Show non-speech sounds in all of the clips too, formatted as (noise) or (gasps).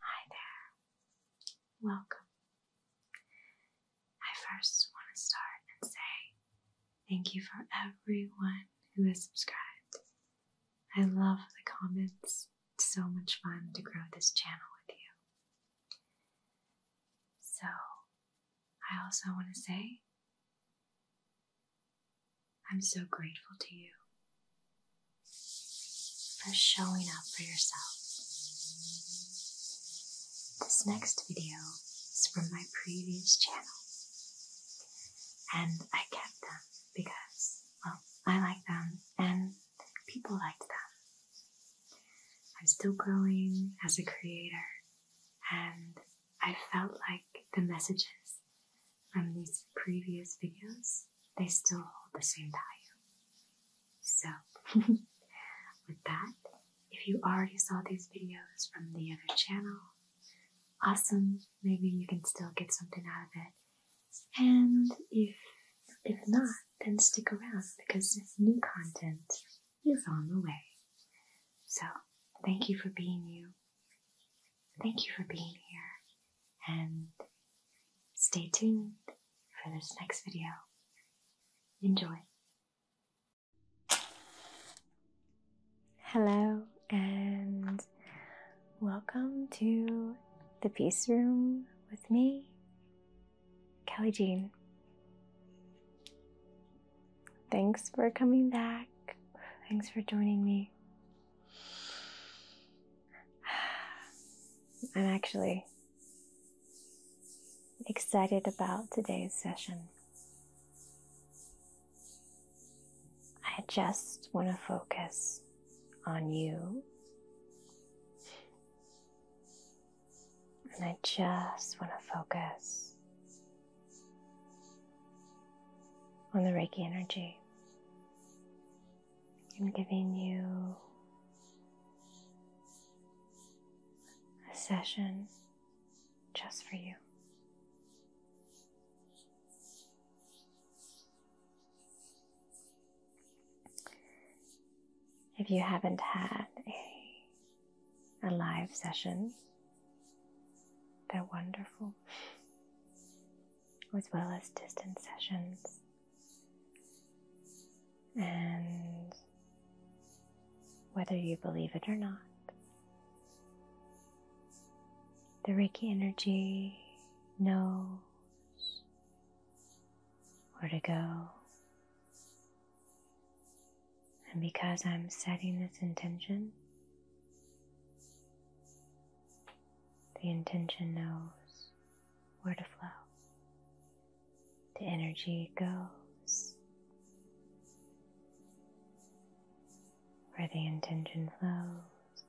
Hi there. Welcome. I first want to start and say thank you for everyone who has subscribed. I love the comments. It's so much fun to grow this channel with you. So, I also want to say I'm so grateful to you for showing up for yourself. This next video is from my previous channel, and I kept them because, well, I like them and people liked them. I'm still growing as a creator, and I felt like the messages from these previous videos, they still hold the same value. So, (laughs) with that, if you already saw these videos from the other channel, awesome, maybe you can still get something out of it. And if if not, then stick around because new content is on the way. So, thank you for being you. Thank you for being here and stay tuned for this next video. Enjoy. Hello and welcome to the Peace Room with me, Kelly Jean. Thanks for coming back. Thanks for joining me. I'm actually excited about today's session. I just want to focus on you. And I just want to focus on the Reiki energy and giving you a session just for you. If you haven't had a, a live session, they're wonderful as well as distance sessions. And whether you believe it or not, the Reiki energy knows where to go. And because I'm setting this intention, the intention knows where to flow. The energy goes where the intention flows.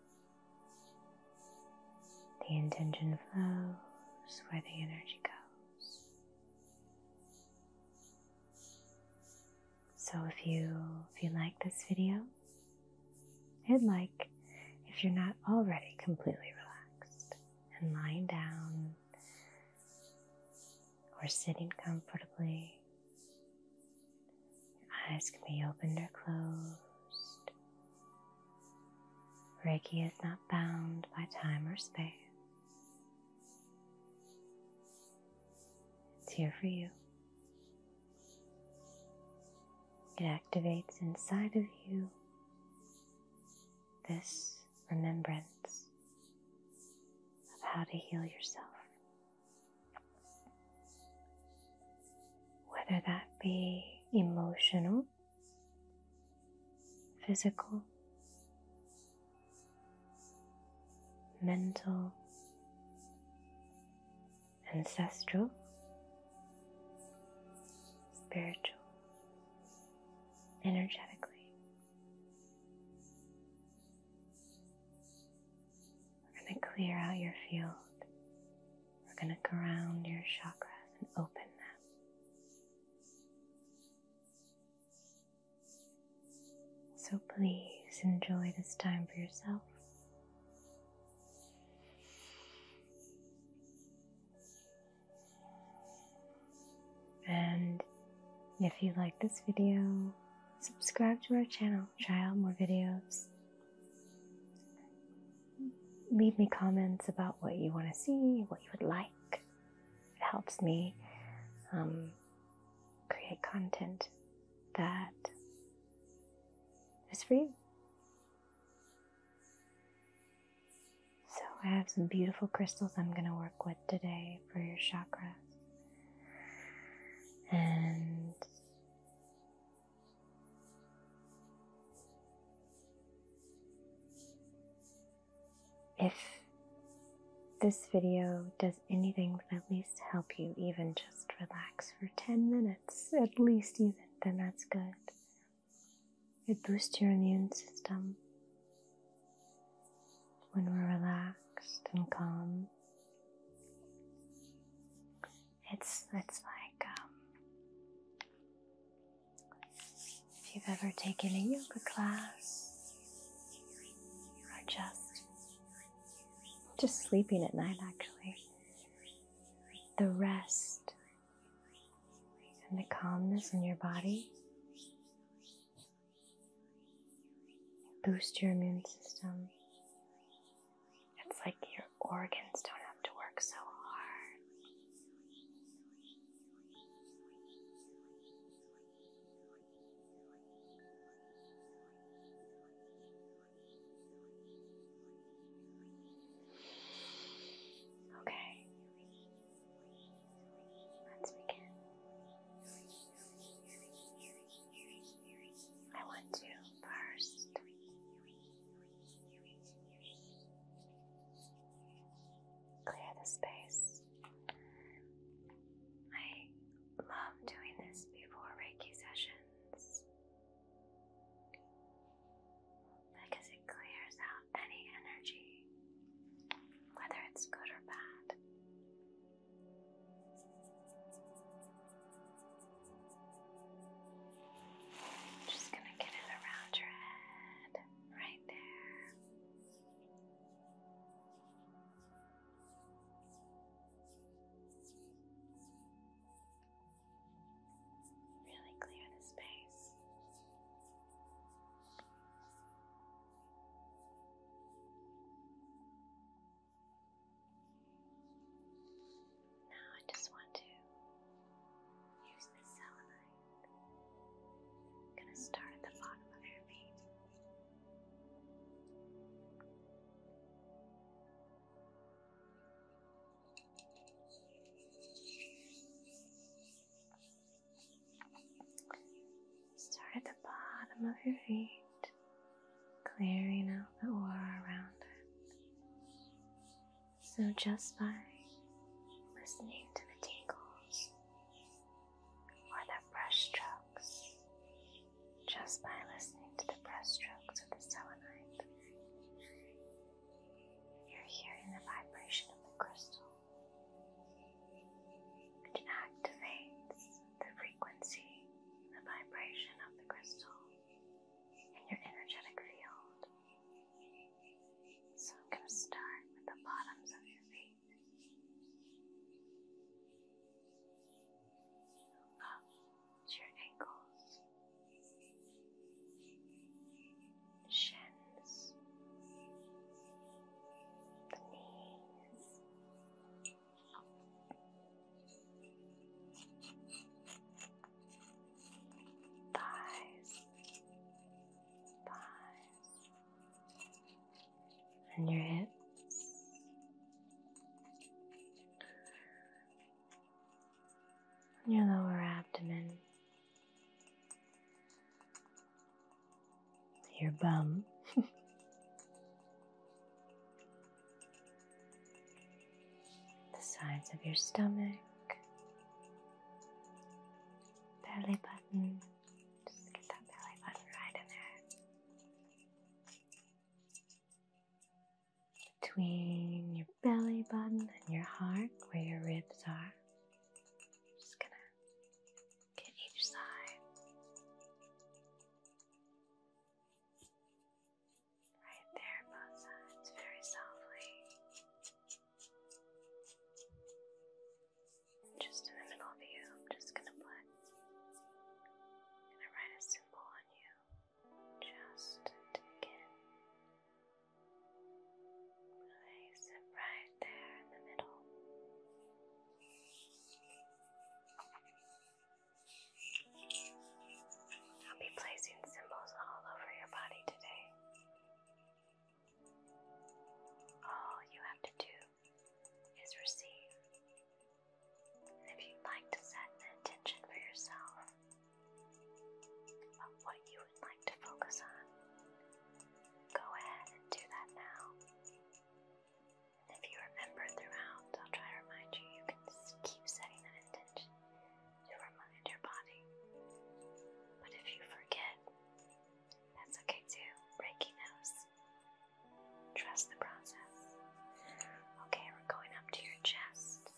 The intention flows where the energy goes. So if you if you like this video, i like if you're not already completely relaxed and lying down or sitting comfortably. Your eyes can be opened or closed. Reiki is not bound by time or space. It's here for you. It activates inside of you this remembrance of how to heal yourself. Whether that be emotional, physical, mental, ancestral, spiritual, energetically. We're going to clear out your field. We're going to ground your chakras and open them. So please enjoy this time for yourself. And if you like this video, subscribe to our channel, try out more videos. Leave me comments about what you want to see, what you would like. It helps me um, create content that is for you. So, I have some beautiful crystals I'm going to work with today for your chakras. And if this video does anything at least help you even just relax for 10 minutes at least even, then that's good. It boosts your immune system when we're relaxed and calm. It's it's like um, if you've ever taken a yoga class or just just sleeping at night actually the rest and the calmness in your body. Boost your immune system. It's like your organs don't have to work so hard. Okay, let's begin. I want to first clear the space. I love doing this before Reiki sessions because it clears out any energy, whether it's good or bad. just going to get it around your head, right there. Really clear the space. Now I just want to use the selenite. I'm gonna start at the bottom of your feet. Start at the bottom of your feet, clearing out the aura around it. So, just by listening to the tingles or the brush strokes just by listening to the strokes of the selenite. You're hearing the vibration of the crystal, which activates the frequency, the vibration of the crystal in your energetic field. So I'm going to start with the bottoms of your feet to your ankles, shins, knees. Thighs, thighs, and your hips, your lower abdomen, your bum. (laughs) the sides of your stomach, belly button. Just get that belly button right in there between your belly button and your heart where your ribs are. Just gonna get each side. Right there, both sides, very softly. Just in the middle of you, I'm just gonna put, gonna write a symbol on you. Just to in. Place it right there in the middle. I'll be placing symbols all over your body today. All you have to do is receive. If you'd like to set an intention for yourself of what you would like to focus on, go ahead and do that now. And if you remember throughout, I'll try to remind you, you can keep setting an intention to remind your body. But if you forget, that's okay too. Reiki knows. Trust the process. Okay, we're going up to your chest.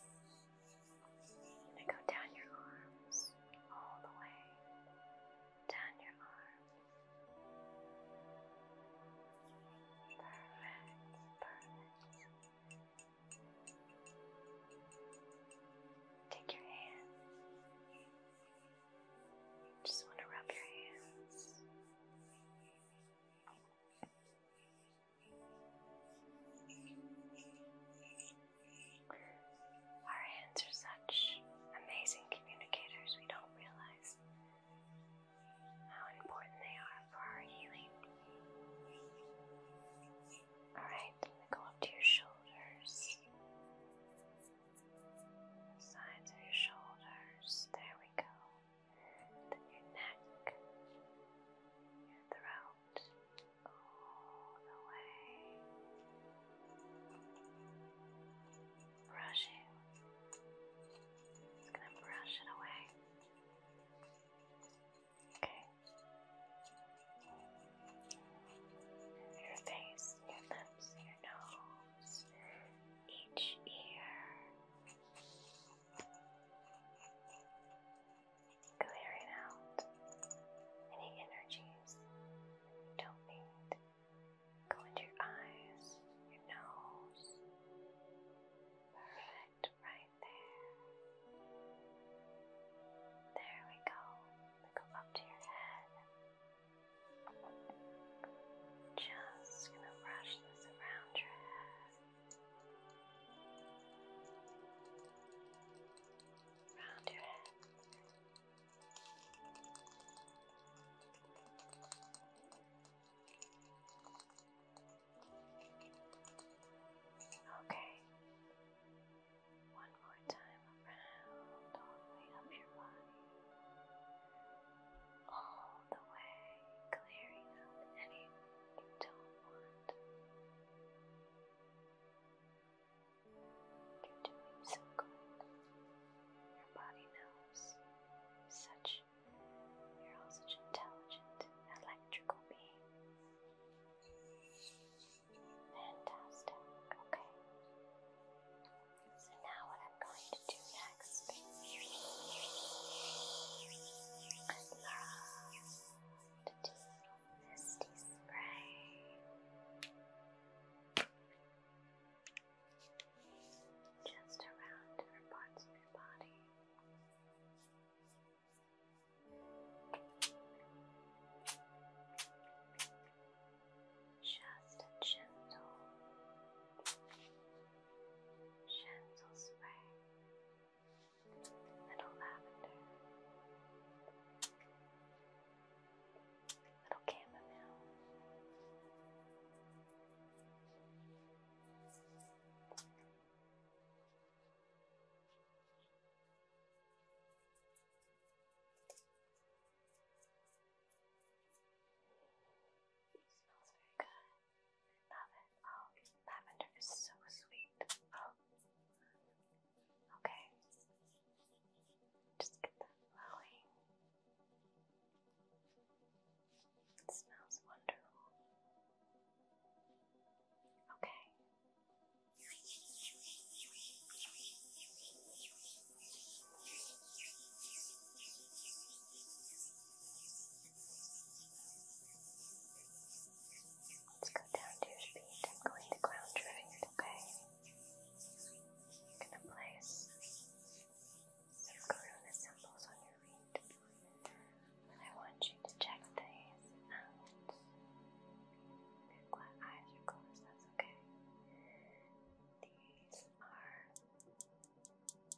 And go down your arms all the way. Down your arms. Perfect, perfect. Take your hands. Just want to rub your hands. Our hands are such amazing communicators, we don't realize how important they are for our healing. Alright, go up to your shoulders, the sides of your shoulders. There we go then your neck, your throat, all the way, brushing. Just gonna brush it away. Okay. Your face, your lips, your nose, each ear, Clearing out any energies you don't need. Go into your eyes, your nose. Perfect, right there. There we go. go up to your head. Just gonna brush this around your head. Round your head. Okay. One more time around all the way up your body. All oh the way, clearing out anything you don't want. You're doing so good. Your body knows. such you're all such intelligent, electrical beings. Fantastic. Okay. So now what I'm going to do next relaxed and longitudinal misty spray just around different parts of your body. Just a gentle, gentle spray, little lavender, little chamomile, it smells very good. Lavender. Oh, lavender is so sweet. Oh. Okay. Just get that flowing. smells wonderful. Okay. Let's go down to your feet. I'm going to ground your feet, okay? I'm going to place some corona symbols on your feet. And I want you to check these out. Your eyes are closed, that's okay. These are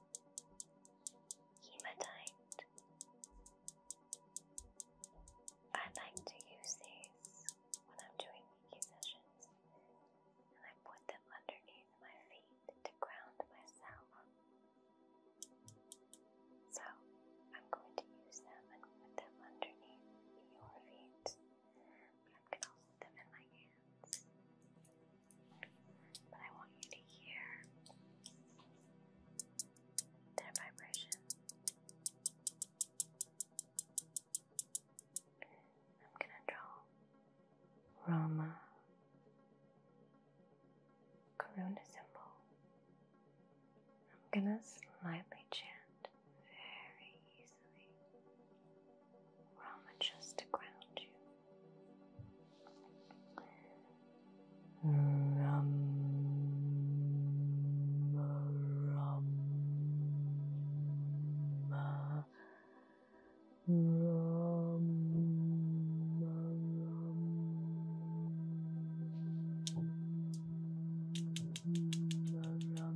hematite. I like to use these when I'm doing Reiki and I put them underneath my feet to ground myself. So I'm going to use them and put them underneath your feet. But I can also put them in my hands. But I want you to hear their vibration. I'm gonna draw Rama Karuna symbol. I'm gonna slightly chant very easily. Rama just to ground you. Ram, ram, ram, ram, ram, ram, ram, ram,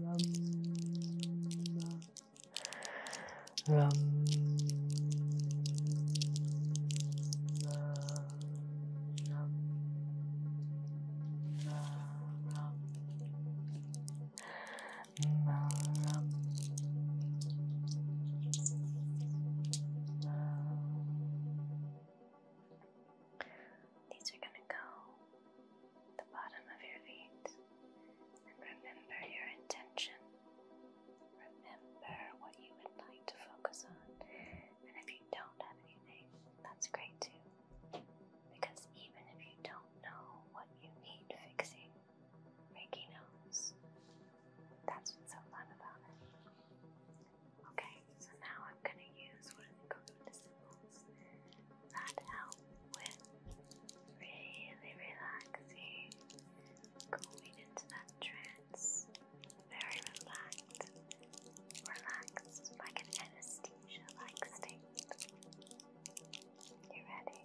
Rama, Ram, these are going to go at the bottom of your feet. And remember your intention. Remember what you would like to focus on. And if you don't have anything, that's great too. Because even if you don't know what you need fixing, Reiki knows. That's what's so fun about it. Okay, so now I'm going to use one of the Karuna symbols that help with really relaxing, going into that trance, very relaxed, relaxed, like an anesthesia-like state. You ready?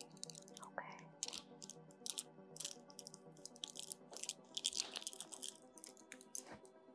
Okay.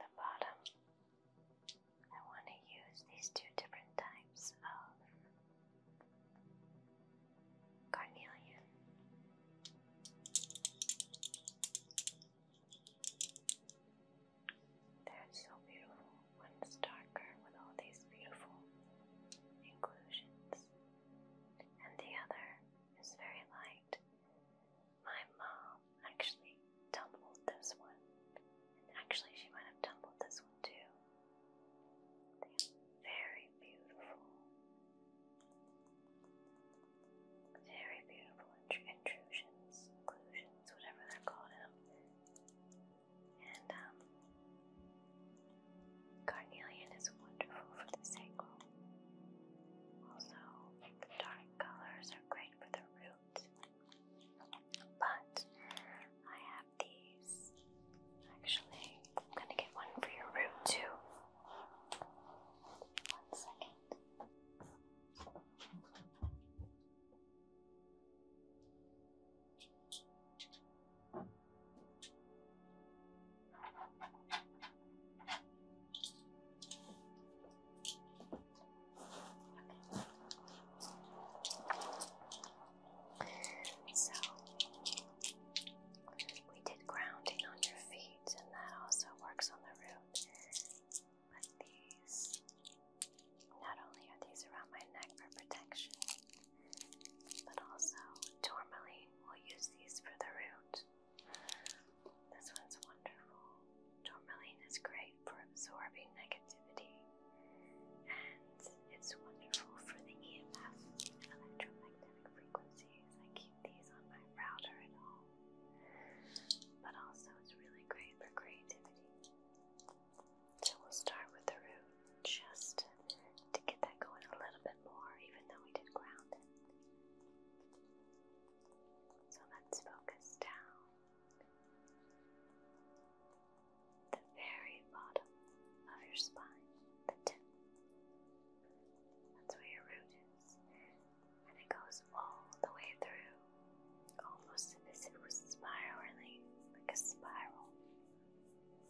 the bottom. I want to use these two different types of carnelian. They're so beautiful. One's darker with all these beautiful inclusions, and the other is very light my mom actually tumbled this one. actually, she might have tumbled this one too. very beautiful. Very beautiful intrusions, inclusions, whatever they're called And, um, carnelian is wonderful for the sacral. Also, dark colors are great for the root but I have these. Actually, I'm gonna get one for your room too. One second. So we did grounding on your feet, and that also works on the root. But these, not only are these around my neck for protection, but also tourmaline will use these for the root. This one's wonderful. Tourmaline is great for absorbing negativity, and it's wonderful for the EMF electromagnetic frequencies. I keep these on my router at home, but also it's really great for creativity. So we'll start with the root just to get that going a little bit more, even though we did ground it. So let's focus down the very bottom of your spine, the tip. That's where your root is. And it goes all the way through, almost as if it was spiraling, like a spiral,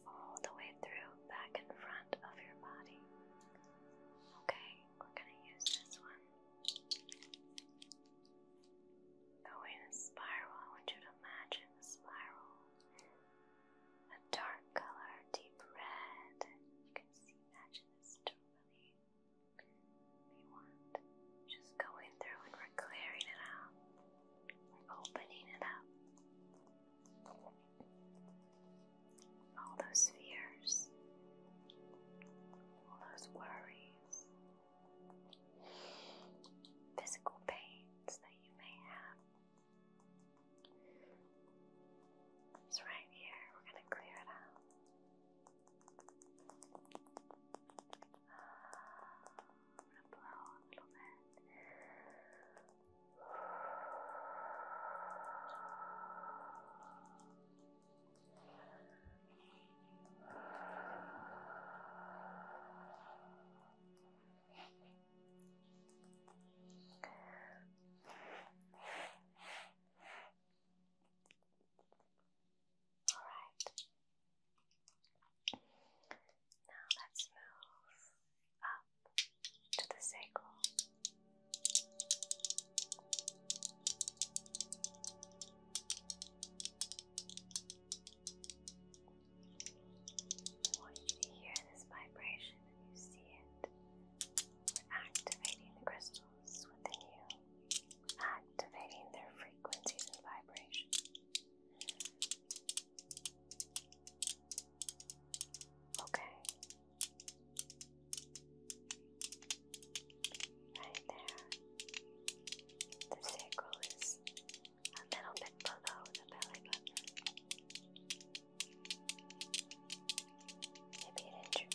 all the way through, back in front of your body. Okay, we're gonna use this one. Go in a spiral. I want you to imagine a spiral. A dark color, deep red. You can see, imagine this totally. If want, just going through and we're clearing it out. We're opening it up. All those fears, all those worries, Physical pains that you may have. It's right here, we're going to clear it out. Uh, i going to blow a little bit. All right. Now let's move up to the sacral. I want you to hear this vibration and you see it. We're activating the crystals within you, activating their frequencies and vibrations. Okay. Right there. The sacral is a little bit below the belly button. Maybe it injured.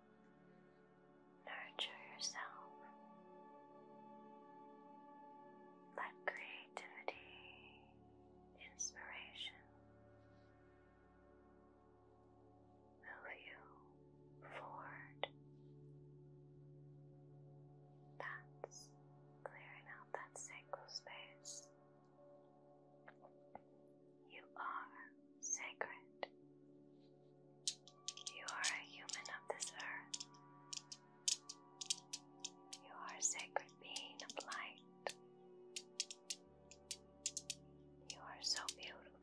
Nurture yourself. Let creativity, inspiration move you forward. That's clearing out that sacral space. You are sacred. You are a human of this earth. You are a sacred being of light. You are so beautiful.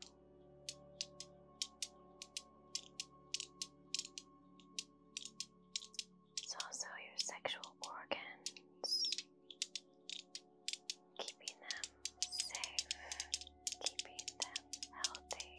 It's also your sexual organs, keeping them safe, keeping them healthy. Just place another symbol right there.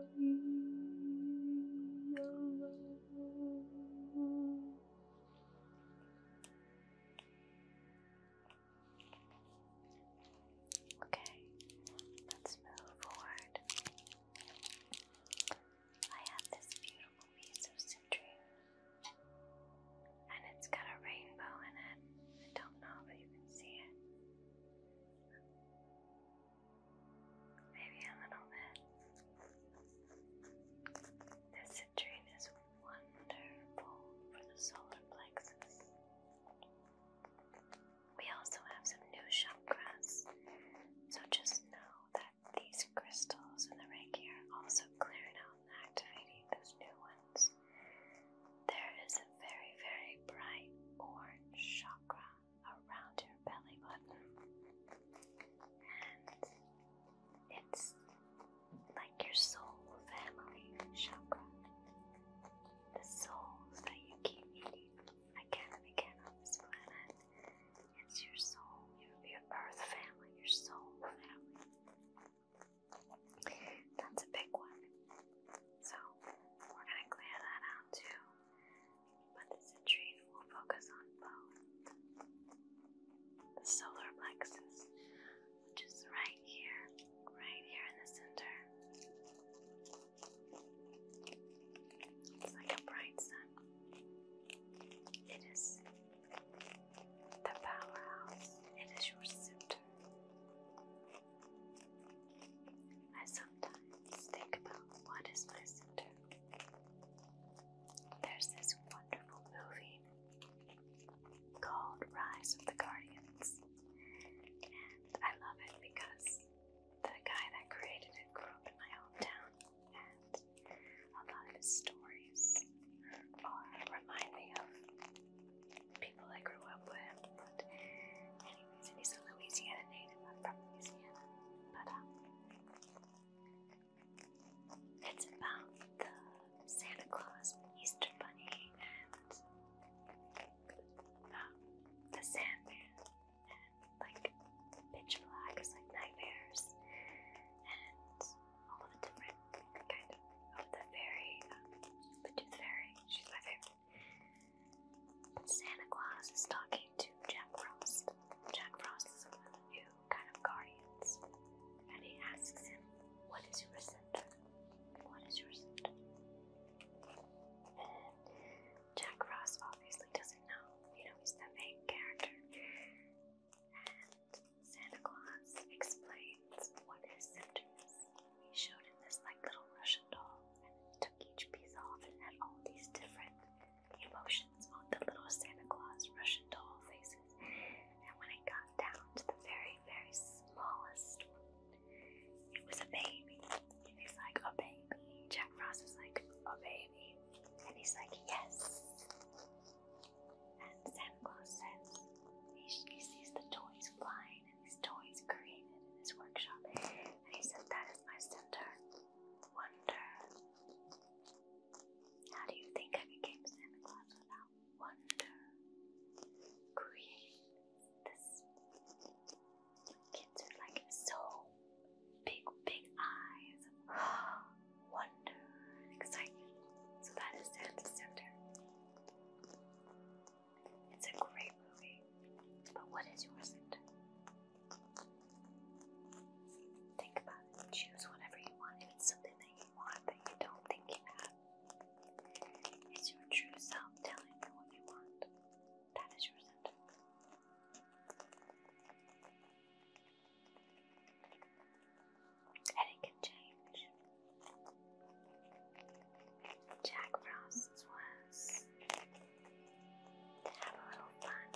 Okay, let's move forward. I have this beautiful piece of citrine, and it's got a rainbow in it. I don't know if you can see it maybe a little bit. This citrine is wonderful for the solar plexus. We also have some new chakras, so just know that these crystals in the Reiki are also clearing out and activating those new ones. There is a very, very bright orange chakra around your belly button. And it's like your soul family chakra. The souls that you keep meeting again and again on this planet. It's your soul, your, earth family, your soul family. That's a big one. So we're gonna clear that out too but this retreat will focus on both the solar plexus, which is right here, right here in the center. It's like a bright sun. It is the powerhouse, it is your center. As the think about what is my center. There's this wonderful movie called Rise of the Guardians, and I love it because the guy that created it grew up in my hometown, and a lot of his stories are remind me of people I grew up with. He's a Louisiana native. from Louisiana. But, um, it's about Santa Claus, Easter Bunny, and um, the Sandman, and like pitch black like nightmares, and all the different kind of, the fairy, um, the tooth fairy. She's my Santa Claus is talking to Jack Frost. Jack Frost is one of the new kind of guardians. And he asks him, What is your center? What is your center? And Jack Frost obviously doesn't know. You know, he's the main character. And Santa Claus explains what his center is. He showed him this like little Russian doll took each piece off and had all these different emotions on the little Santa Claus Russian doll faces. And when it got down to the very, very smallest it was a baby. he's like, a baby. Jack Frost was like, a baby. And he's like, yes. And Santa Claus says, he, he sees the toys flying and these toys created in his workshop. And he said that is my center. Wonder. How do you think I became Santa Claus without wonder? Create this kids with like so big, big eyes of (gasps) wonder excitement. So that is Santa's center. It's a great movie. But what is yours? Think about it. Choose whatever you want. it's something that you want but you don't think you have, it's your true self telling you what you want. That is your And it can change. Jack Frost's was to have a little fun.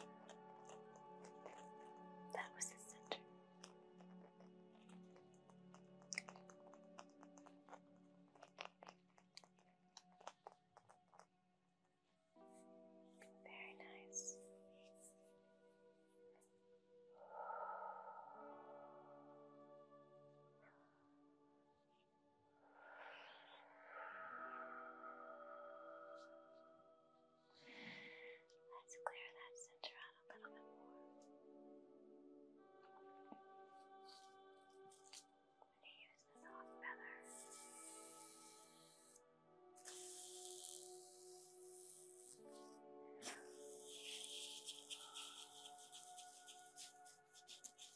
That was his center. Very nice. Let's clear that center out a little bit more. I'm going to use this hot feather. Just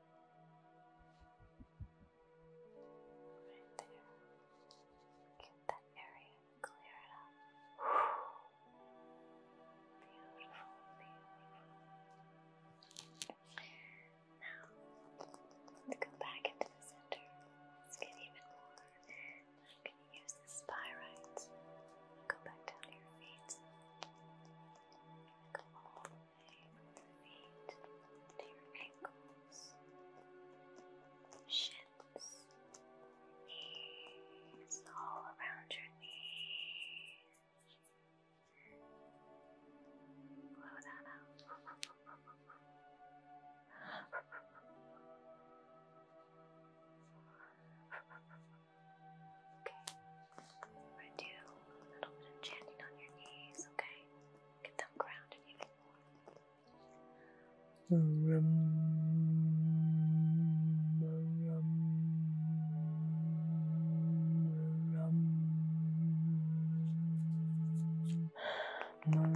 Right there. Get that area cleared up. Beautiful, beautiful. Now, go back into the center. Let's get even more. I'm going to use the spy Go back down your feet. Go all the way to your ankles, shins, knees, all around your knees. Blow that out. (laughs) Okay. we do a little bit of chanting on your knees, okay? Get them grounded even more. Rum, rum, rum,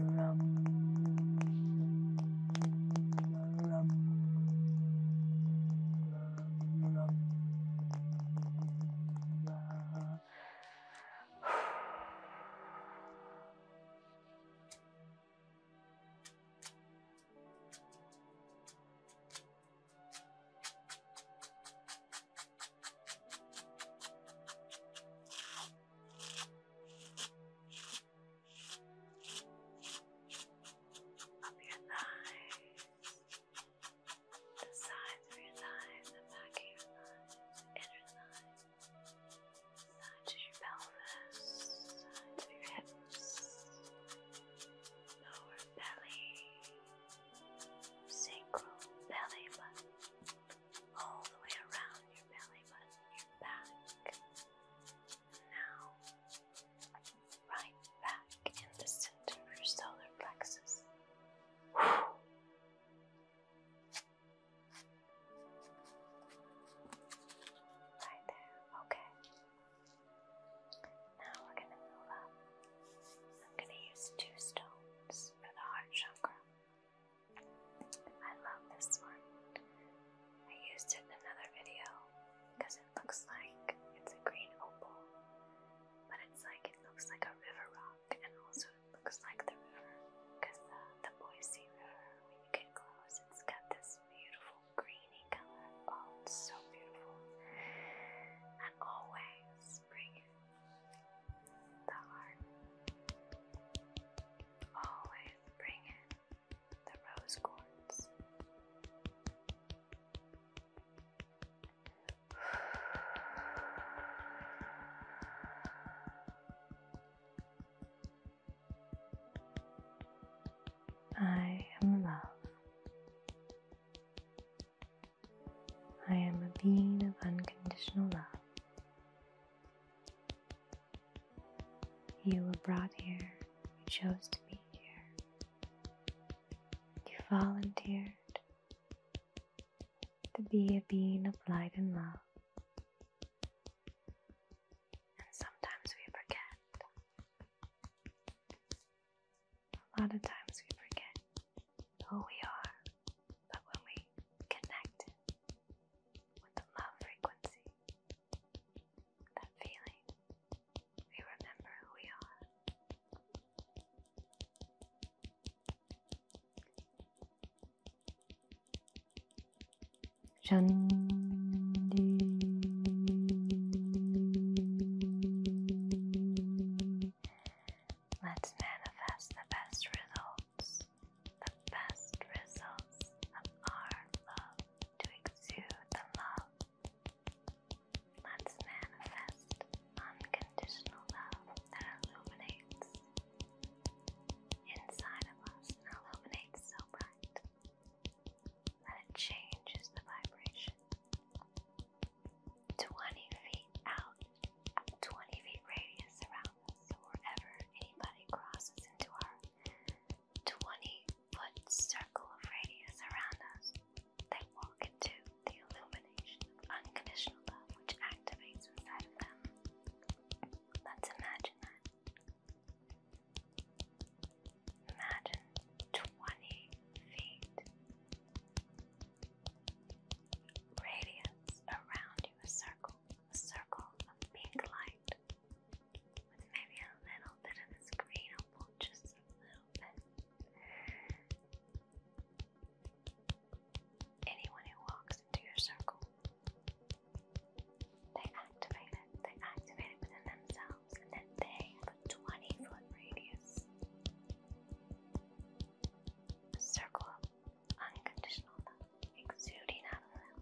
rum, rum. Up your thighs the sides of your thighs, the back of your thighs, inner thighs, sides of your pelvis, sides of your hips, lower belly, sacral belly button, all the way around your belly button, your back. Now, right back in the center of your solar plexus. Right there, okay. Now we're going to move up. I'm going to use two stones for the heart chakra. I love this one. I used it in another video because it looks like it's a green opal, but it's like it looks like a river rock, and also it looks like the river because the, the Boise River, when you get close, it's got this beautiful greeny color. Oh, it's so beautiful, and always bring the heart. Always bring in the rose quartz. I am love. I am a being of unconditional love. You were brought here, you chose to be here. You volunteered to be a being of light and love. And sometimes we forget. A lot of times we forget who we are, but when we connect with the love frequency, that feeling we remember who we are. Let's manifest the best results, the best results of our love to exude the love Let's manifest unconditional love that illuminates inside of us illuminates so bright that it changes the vibration. 20 feet out, 20 feet radius around us, so wherever anybody crosses into our 20 put circle of radius around us. They walk into the illumination of unconditional love which activates inside of them. Let's imagine that. Imagine 20 feet radius around you, a circle, a circle of pink light with maybe a little bit of green opal, just a little bit. Anyone who walks into your circle, they activate it, they activate it within themselves, and then they have a 20 foot radius. circle of unconditional exuding out of them.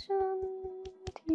Shanti.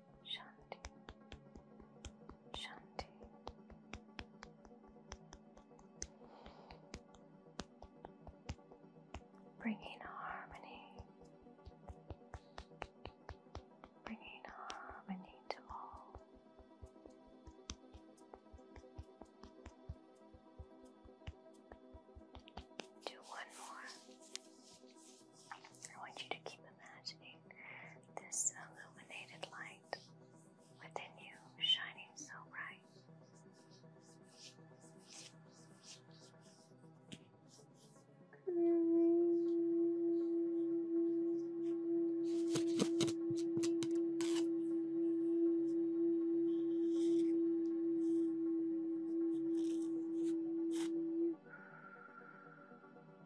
Shanti, Shanti. Bringing harmony, bringing harmony to all. Do one more. I want you to keep imagining this illuminated light within you shining so bright.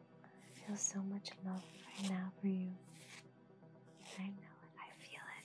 I feel so much love right now for you. I know it, I feel it.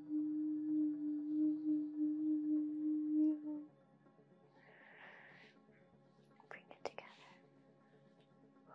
Bring it together. Bring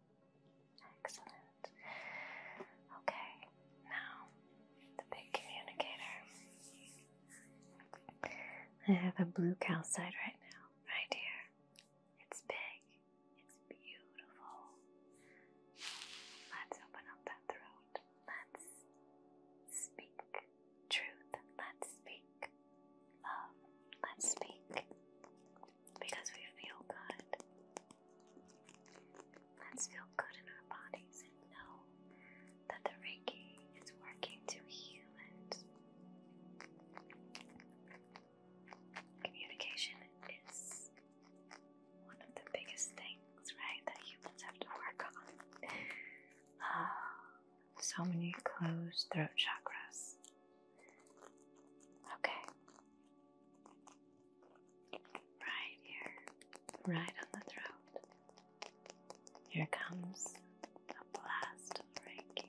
Excellent. Okay, now the big communicator. I have a blue side right now, right here. It's big, it's beautiful. Let's open up that throat. Let's speak truth. Let's speak love. Let's speak because we feel good. Let's feel good in our bodies and know that the Reiki is working to heal it. Communication is one of the biggest things, right, that humans have to work on. (sighs) so many closed throat chakras Okay. Right here, right on the throat. Here comes a blast of Ready.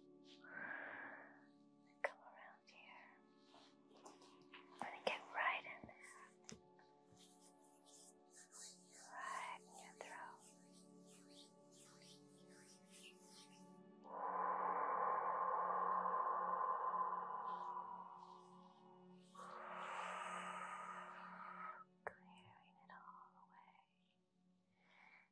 And come around here. I'm gonna get right in there. Right in your throat. Clearing it all away.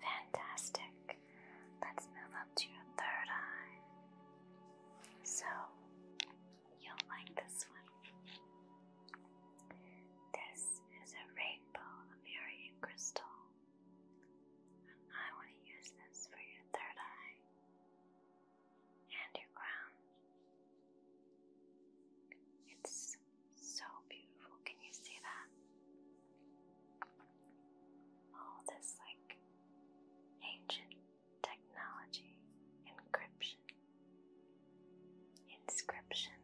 Fantastic. Let's move up to your third eye. So, You'll like this one. This is a rainbow Amurian crystal. I want to use this for your third eye and your crown. It's so beautiful. Can you see that? All this, like, ancient technology, encryption inscription.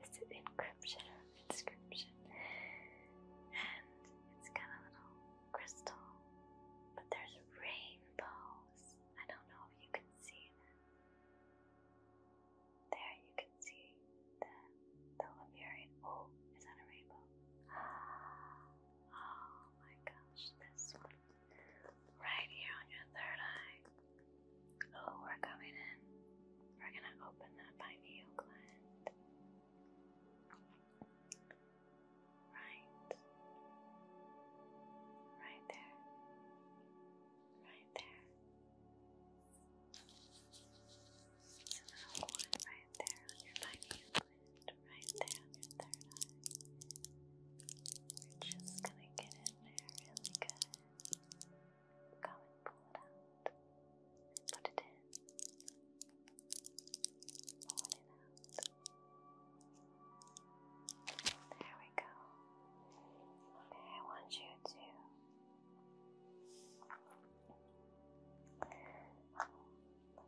This is encryption. Inscription. And it's got a little crystal, but there's rainbows. I don't know if you can see them. There you can see the the Lemurian. Oh, is that a rainbow? (gasps) Oh my gosh, this one right here on your third eye. Oh, we're coming in. We're gonna open that pineal gland. Right. Right there. Right there. Another one right there on your pineal gland. Right there on your third eye. We're just gonna get in really good. Go and pull it out. Put it in. Pull it out. There we go. Okay, I want you to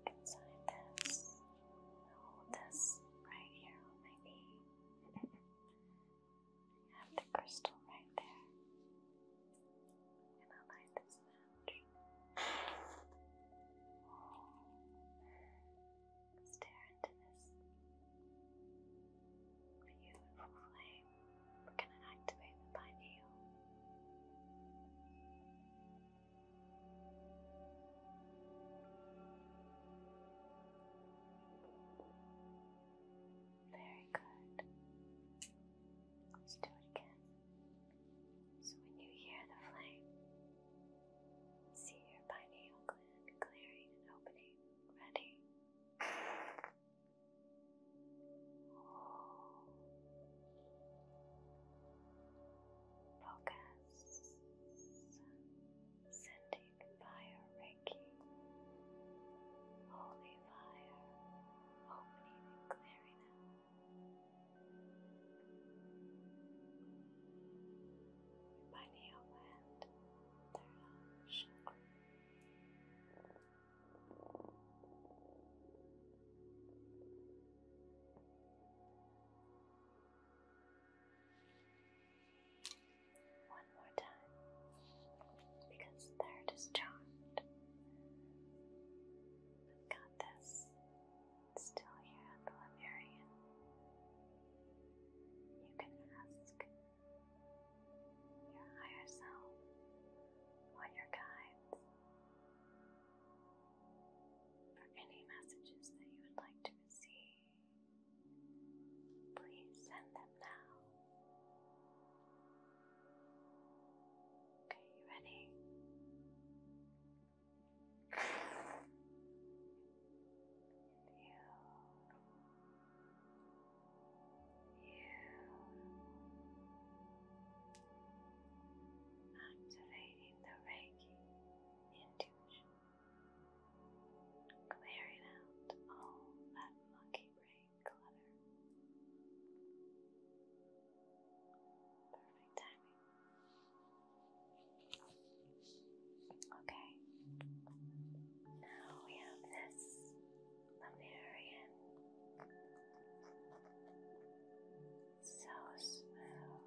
look inside this. Hold this right here on I have the crystal right there. And I'll light this match. Stare into this beautiful flame. We're going to activate the pineal. Now very good. Let's do it again. So when you hear the flame, see your pineal gland clearing and opening. Ready? Focus. Sending Mystic Fire Reiki. Holy Fire, opening and clearing out. Body and third chakra. Third one more time because they're just charmed. We've got this. still here the Lemurian. You can ask your higher self or your guides for any messages that you would like to receive. Please send them now. Okay, you ready? You, you, activating the Reiki intuition clearing out all that monkey brain clutter. Perfect timing. Okay, now we have this Lemurian. So smooth,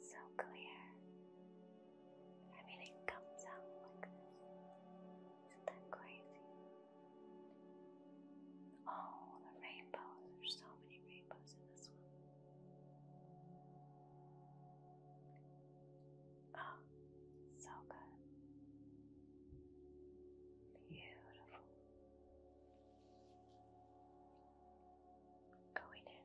so clear. I mean, it comes out like this. Isn't that crazy? Oh, the rainbows. There's so many rainbows in this one. Oh, so good. Beautiful. Going in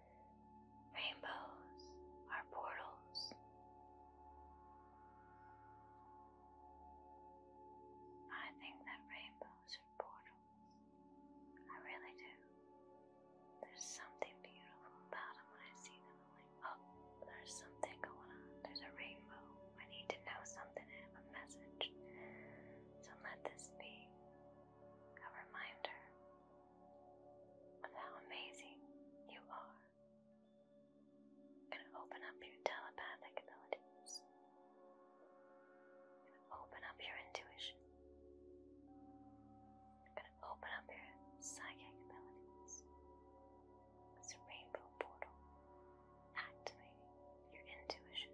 Rainbows are portals. I think that rainbows are portals. I really do. There's something beautiful about them when I see them. I'm like, oh, there's something going on. There's a rainbow. I need to know something. I have a message. So let this be a reminder of how amazing you are. Gonna open up your telepathic abilities. Gonna open up your intuition. Gonna open up your psychic abilities. This rainbow portal activating your intuition.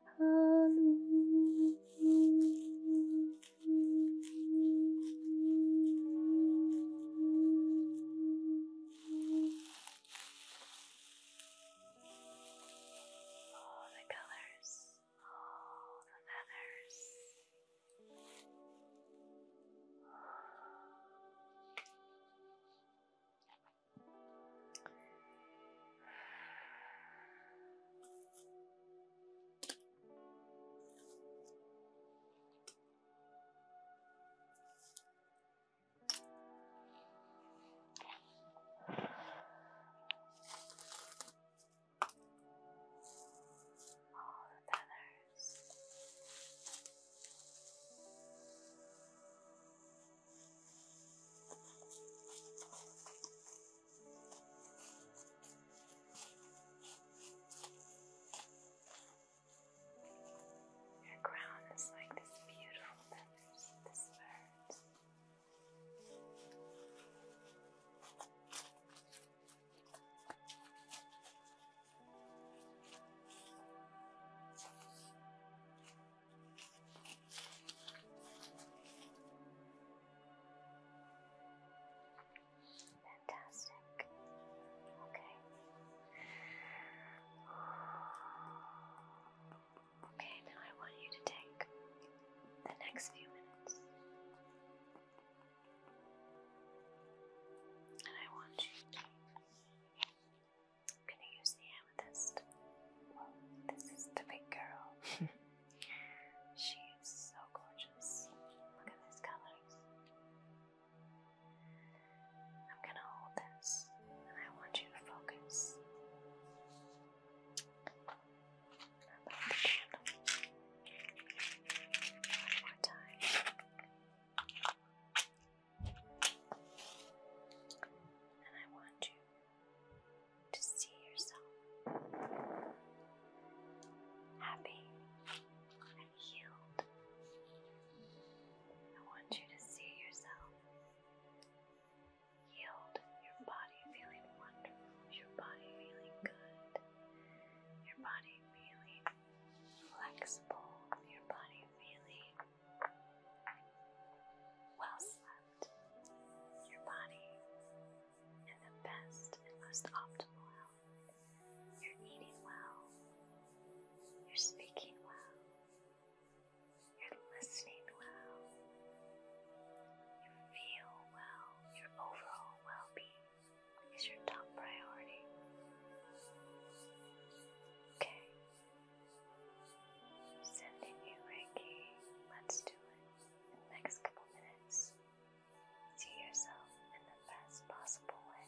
All the colors, all the feathers all the feathers. Your crown is like this beautiful feathers, this bird. Your Fantastic. Okay. Okay, now I want you to take the next few minutes. And I want you to. I'm going to use the noticed. this is the big girl. (laughs) she is so gorgeous. Look at these colors. I'm gonna hold this and I want you to focus. One more time. And I want you to see yourself happy and healed. I want you to see yourself healed, your body feeling wonderful, your body feeling good, your body feeling flexible, your body feeling well slept your body in the best and most optimal health. You're eating well, you're speaking well, you're listening well, you feel well, your overall well being is your top priority. Okay, Sending you Reiki. Let's do it in the next couple minutes. See yourself in the best possible way.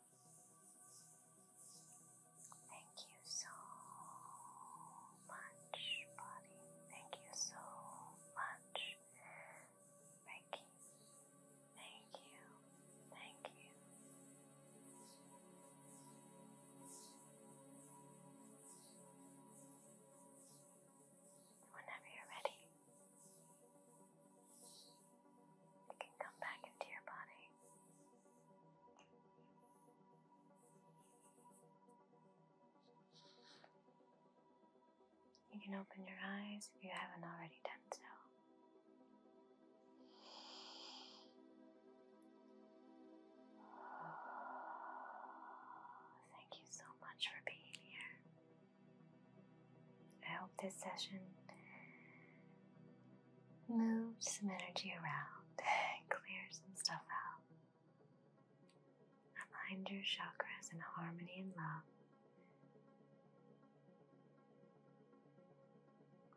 Thank you so much, body. Thank you so much, Reiki. Thank you, thank you. Whenever you're ready, you can come back into your body. You can open your eyes if you haven't already done so. (sighs) Thank you so much for being here. I hope this session move some energy around and (laughs) clear some stuff out. Align your chakras in harmony and love.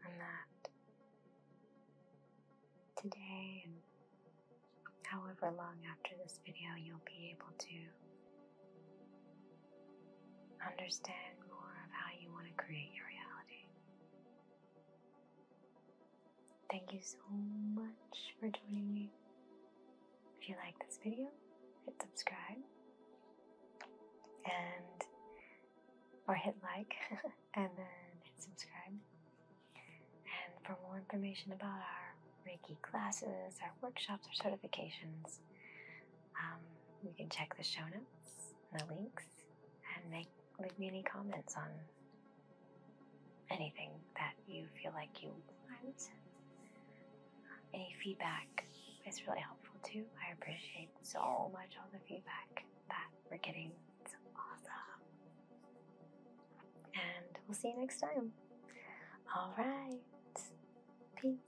And that today and however long after this video you'll be able to understand more of how you want to create your reality. Thank you so much for joining me. If you like this video, hit subscribe and or hit like (laughs) and then hit subscribe. And for more information about our Reiki classes, our workshops, our certifications, um, you can check the show notes and the links and leave me any comments on anything that you feel like you want. Any feedback is really helpful too. I appreciate so much all the feedback that we're getting. It's awesome. And we'll see you next time. All right. Peace.